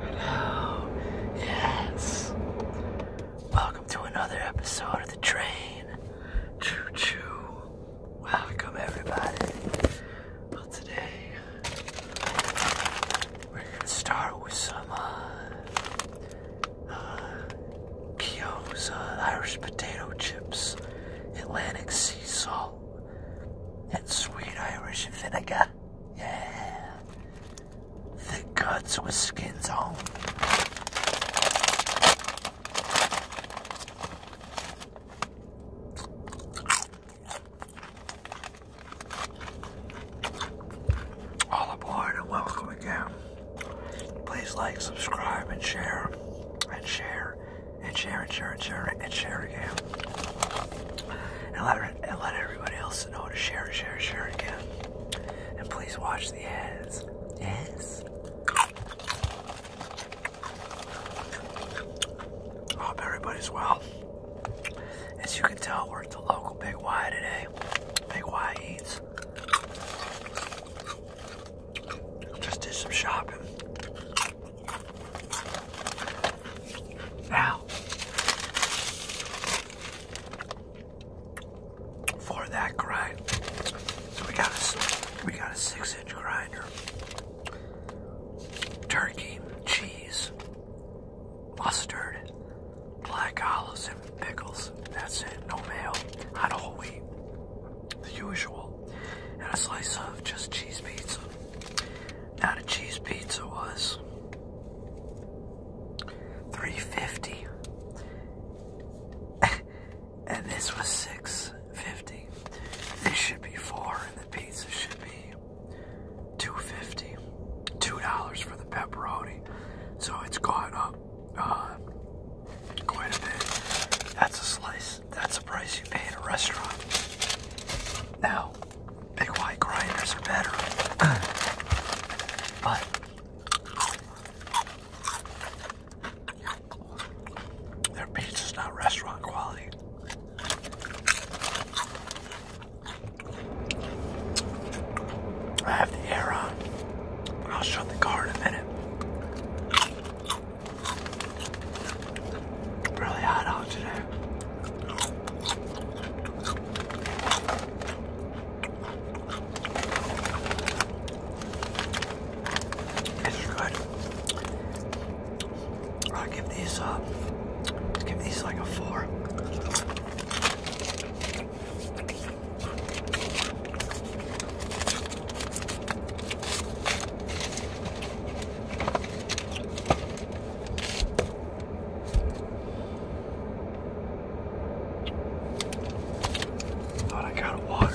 Hello. Yes. Welcome to another episode of The Train. Choo choo. Welcome, everybody. Well, today we're going to start with some uh, uh, Kiosa uh, Irish potato chips, Atlantic sea salt, and sweet Irish vinegar. Yeah. Thick cuts with skins on. All aboard and welcome again. Please like, subscribe, and share, and share, and share, and share, and share, again. And let and let everybody else know to share share share again. And please watch the ads. Yes. hope everybody's well. As you can tell, we're at the local Big Y today. Big Y Eats. Just did some shopping. Now, for that grind, so we got a we got a six-inch grinder, turkey, cheese, mustard, black olives, and pickles. That's it. No mayo, not whole wheat, the usual, and a slice of just cheese pizza. Now the cheese pizza was $3.50. and this was $6.50. This should be four and the pizza should be $2.50. $2 for the pepperoni. So it's gone up uh, quite a bit. That's a slice. That's the price you pay at a restaurant. Now, Big white grinders are better. but their pizza's not restaurant quality. I have the air on. I'll shut the car in a minute. Really hot out today. It's good. i give these uh give these like a four. Thought I got water.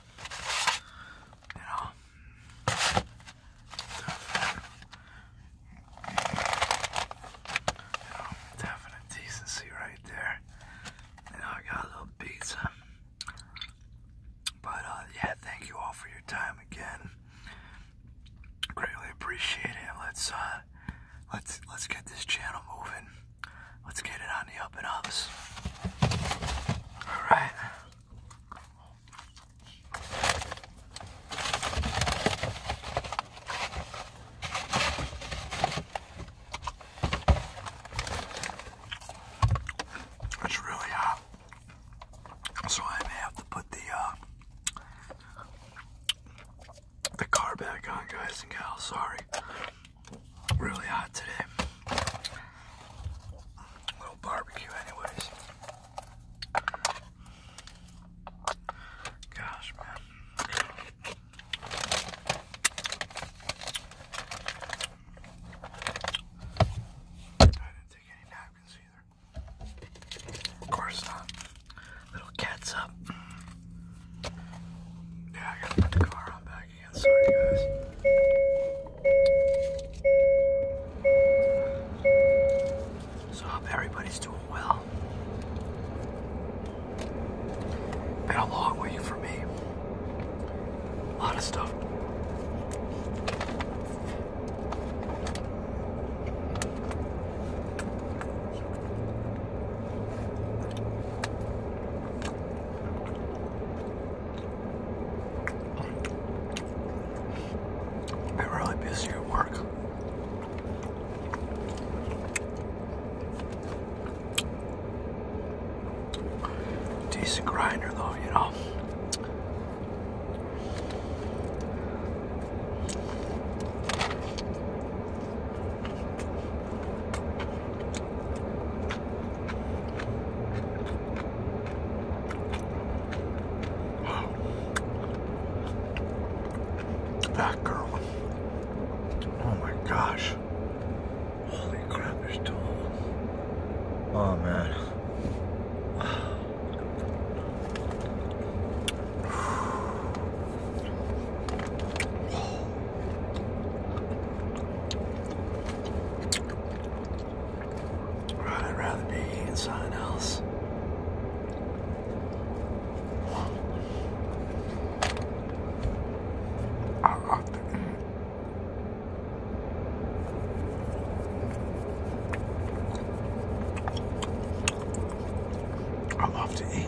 you Definite, decency right there. You I got a little pizza. But uh, yeah, thank you all for your time again. Greatly appreciate it. Let's uh, let's let's get this channel moving. Let's get it on the open and All right. It's really hot, so I may have to put the uh, the car back on, guys and gals. Sorry, really hot today. little barbecue, anyways. Gosh, man. I didn't take any napkins either. Of course not. Uh, little cat's up. Yeah, I gotta put the car on back back again. Sorry, guys. So, hope everybody's doing well. Been a long week for me. A lot of stuff. Been really busy at work. Decent grinder though, you know. That girl. Oh my gosh. Holy crap, there's Oh man. I'd rather be eating something else. Mm. I love to eat.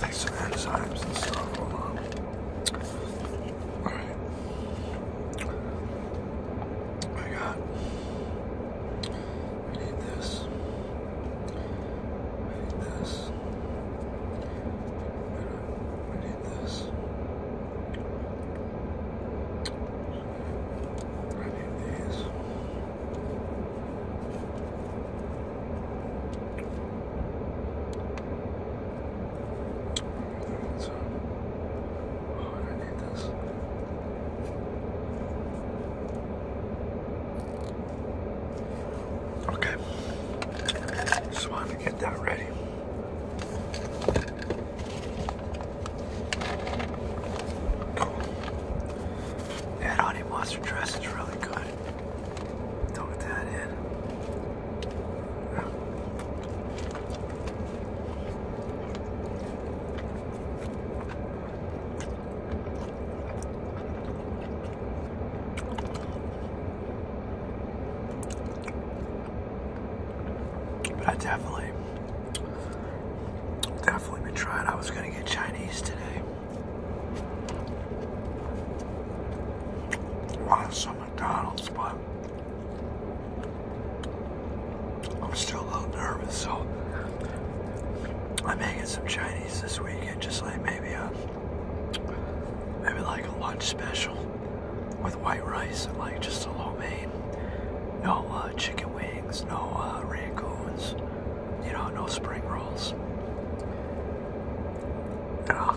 Like some enzymes and stuff. Hold I got. I need this. I need this. I need this. I need these. Oh, okay. Just wanted to get that ready. Cool. That honey mustard dress is really good. Dunk that in. But I definitely, definitely been trying. I was gonna get Chinese today want some McDonald's, but I'm still a little nervous, so I am get some Chinese this weekend, just like maybe a maybe like a lunch special with white rice and like just a lo mein, no uh, chicken wings, no uh, rangoons, you know, no spring rolls. Uh,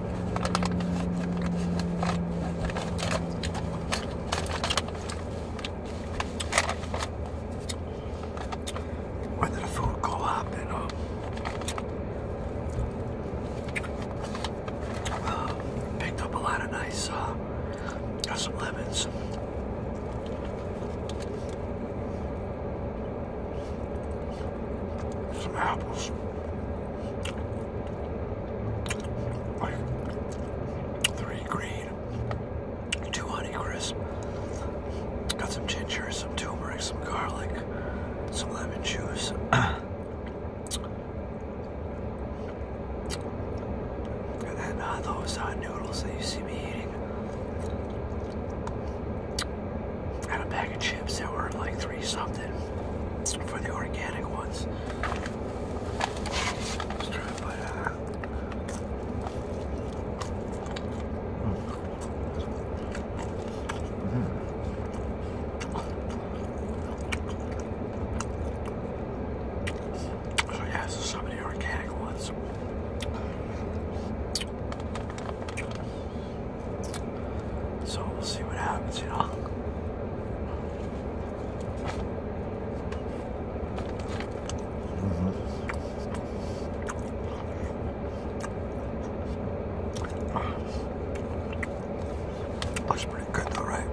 Where did the food go up? and um, uh, picked up a lot of nice, uh, got some lemons. Some apples. Three green, two honey crisp. Got some ginger, some turmeric, some garlic, some lemon juice. and then uh, those hot uh, noodles that you see me eating. Had a bag of chips that were like three something for the organic ones. Hmm. Oh, so yeah, some of the organic ones. So we'll see what happens, you know. Mm -hmm. Looks pretty good though, right?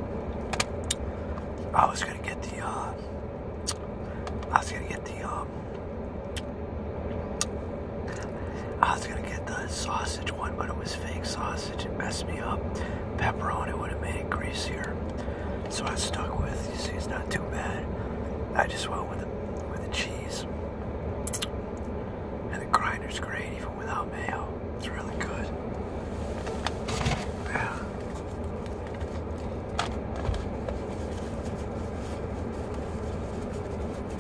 I was gonna get the uh, I was gonna get the um, I was gonna get the sausage one, but it was fake sausage. It messed me up. Pepperoni would have made it greasier, so I stuck with. You see, it's not too bad. I just went with the with the cheese, and the grinder's great even without mayo. It's really good. Yeah.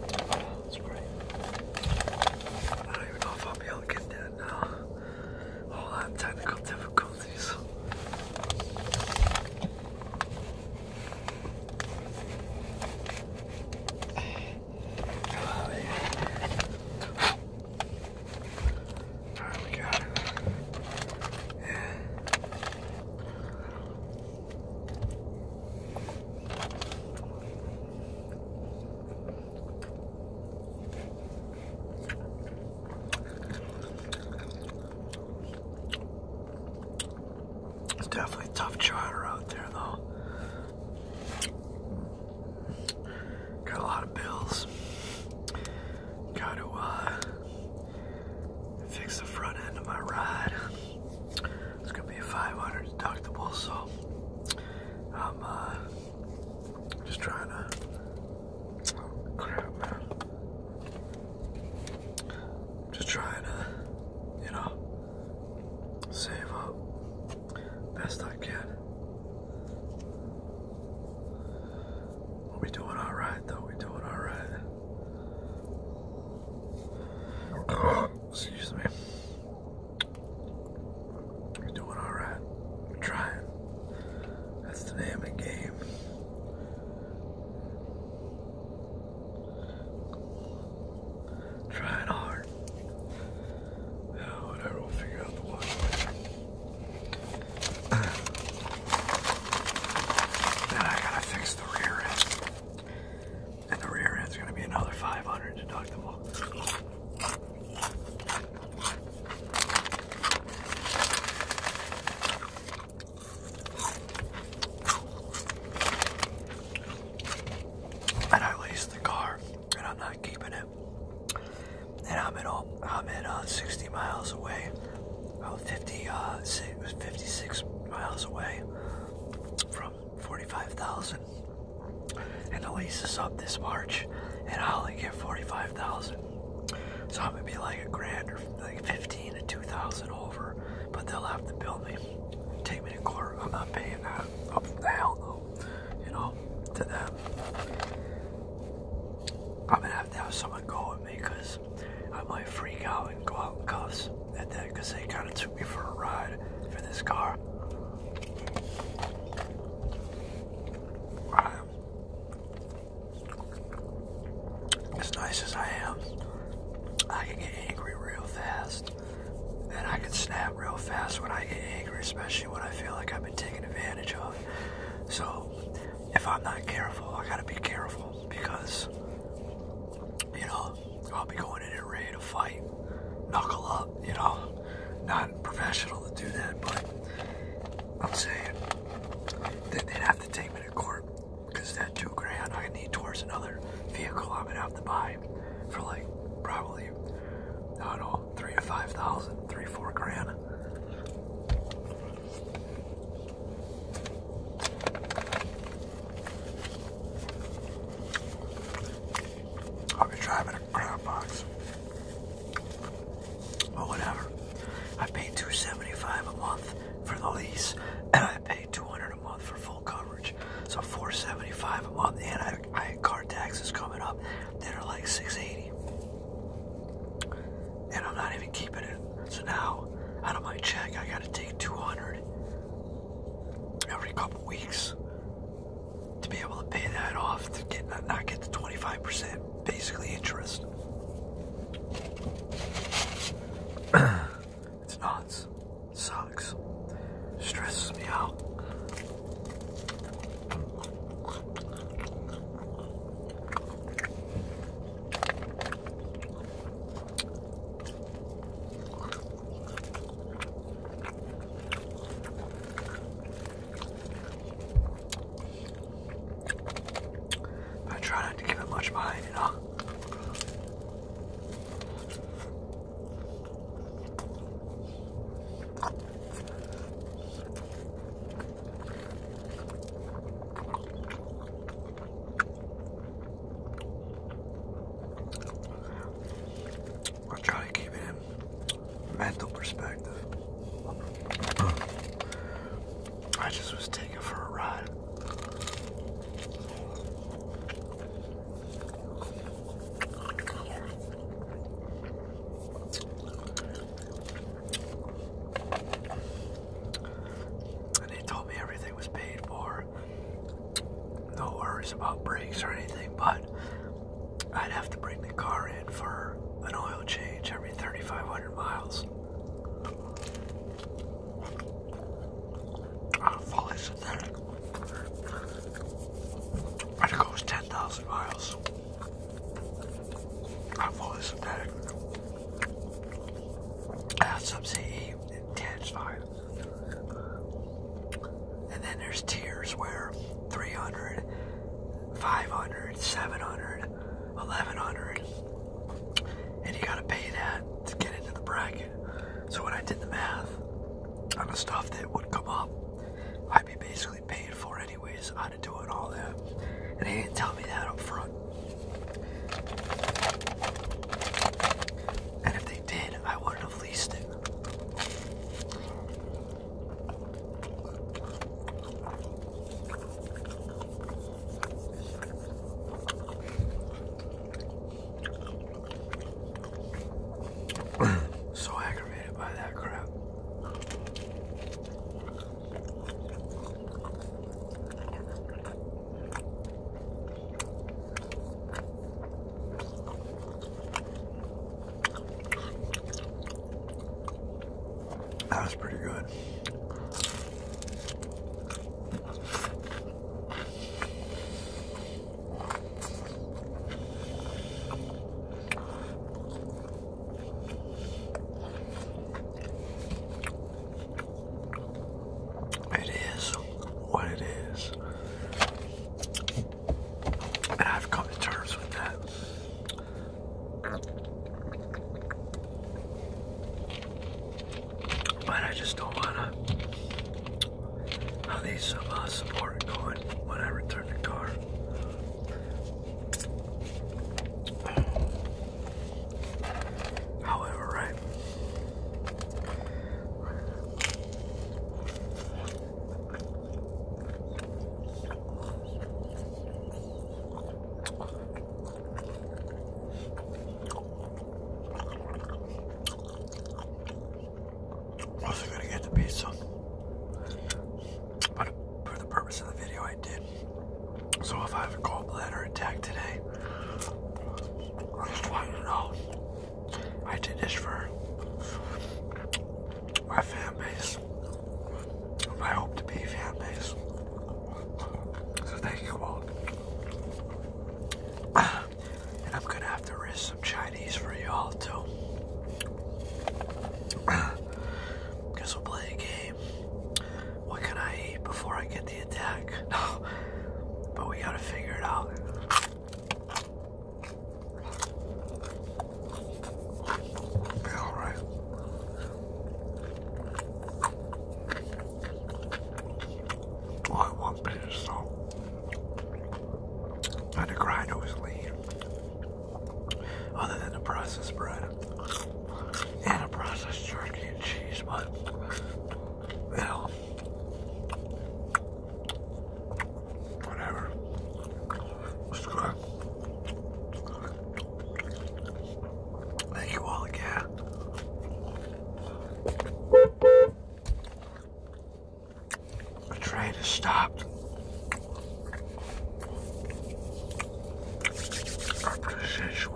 That's great. I don't even know if I'll be able to get that now. All that technical difficulty these. Oh, baby. Alright, we got it. Yeah. It's definitely a tough charter out there though. Got a lot of bills. Gotta uh, fix the front end of my ride. It's gonna be a 500 deductible, so I'm uh, just trying to crap, Just trying to, you know, save up best I can. We doing all right, though. We doing all right. excuse me. we doing all right. That's the name of the game. Trying hard. whatever, oh, we'll figure out the watch then I gotta fix the rear end. And the rear end's gonna be another 500 deductible. And I leased the car, and I'm not keeping it. And I'm at all, I'm at uh, 60 miles away, oh, uh, uh, 56 miles away from 45,000. And the lease is up this March, and I only get 45. So I'm gonna be like a grand or like 15 to 2,000 over, but they'll have to bill me, take me to court. I'm not paying that. Up the hell no, you know, to them. I'm gonna have to have someone go with me because I might freak out and go out in cuffs at that because they kind of took me for a ride for this car. As nice as I am, I can get angry real fast. And I can snap real fast when I get angry, especially when I feel like I've been taken advantage of. So, if I'm not careful, I gotta be careful because, you know, I'll be going in and ready to fight, knuckle up, you know. Not professional to do that, but I'm saying they'd have to take me to court because that two grand I need towards another vehicle I'm gonna buy for like probably not know three to five thousand, three four grand. I'll be driving a crab box. But whatever. I paid $275 a month for the lease, and I paid $200 a month for full coverage. So $475 a month, and I, had car taxes coming up that are like $680. And I'm not even keeping it. So now, out of my check, I gotta take 200 every couple weeks to be able to pay that off to get not, not get the 25% basically interest. it's nuts. Sucks. Stresses me out. I try not to give it much mind, you know. i try to keep it mental perspective. I just was taking for a ride. And they told me everything was paid for. No worries about breaks or anything, but I'd have to bring the car in for an oil change every 3,500 miles. I'm fully synthetic. And it goes 10,000 miles. I'm fully synthetic. That's some CE intensified. And then there's tiers where 300 500 700 1100 and you gotta pay that to get into the bracket so when I did the math on the stuff that would come up I'd be basically paid for anyways how to do it all that and they didn't tell me that up front and if they did I wouldn't have leased it so aggravated by that crap. That was pretty good. It is what it is. I've come to terms with that. But I just don't wanna how these uh, support going when I return the car. However, right. Also gonna get the pizza. But for the purpose of the video I did. So if I have a gallbladder attack today, I just want to know I did this for my fan base, I hope to be fan base. So thank you all. I'm gonna have to risk some Chinese for y'all too. Because we'll play a game. What can I eat before I get the attack? But we gotta figure it out. Yeah, all right. Only one piece, so I had to grind always lean. Other than the processed bread and a processed turkey and cheese, but you whatever. Subscribe. Thank you all again. The trade has stopped. I appreciate you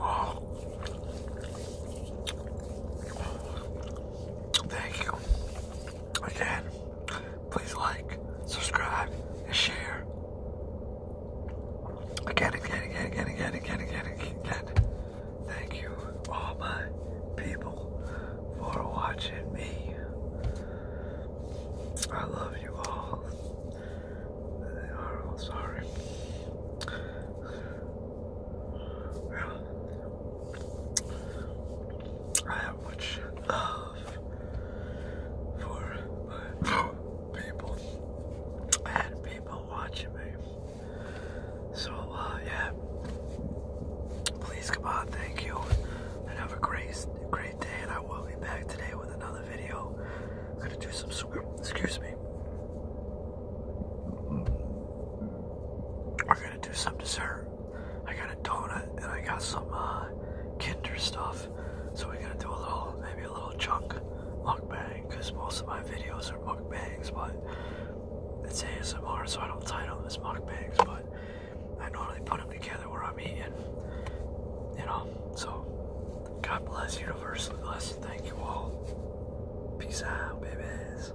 Thank you again please like, subscribe, and share. Again, again, again, again, again, again, again, again. Thank you, all my people, for watching me. I love you all. I'm sorry. Well, I have much love for my people and people watching me. So, uh, yeah. Please come on, thank you. And have a great, great day. And I will be back today with another video. gonna do some, excuse me. We're gonna do some dessert. I got a donut and I got some uh, Kinder stuff. So we're gonna do a little, maybe a little chunk mukbang because most of my videos are mukbangs, but it's ASMR, so I don't title them as mukbangs, but I normally put them together where I'm eating. You know, so God bless, universally bless. Thank you all. Peace out, babies.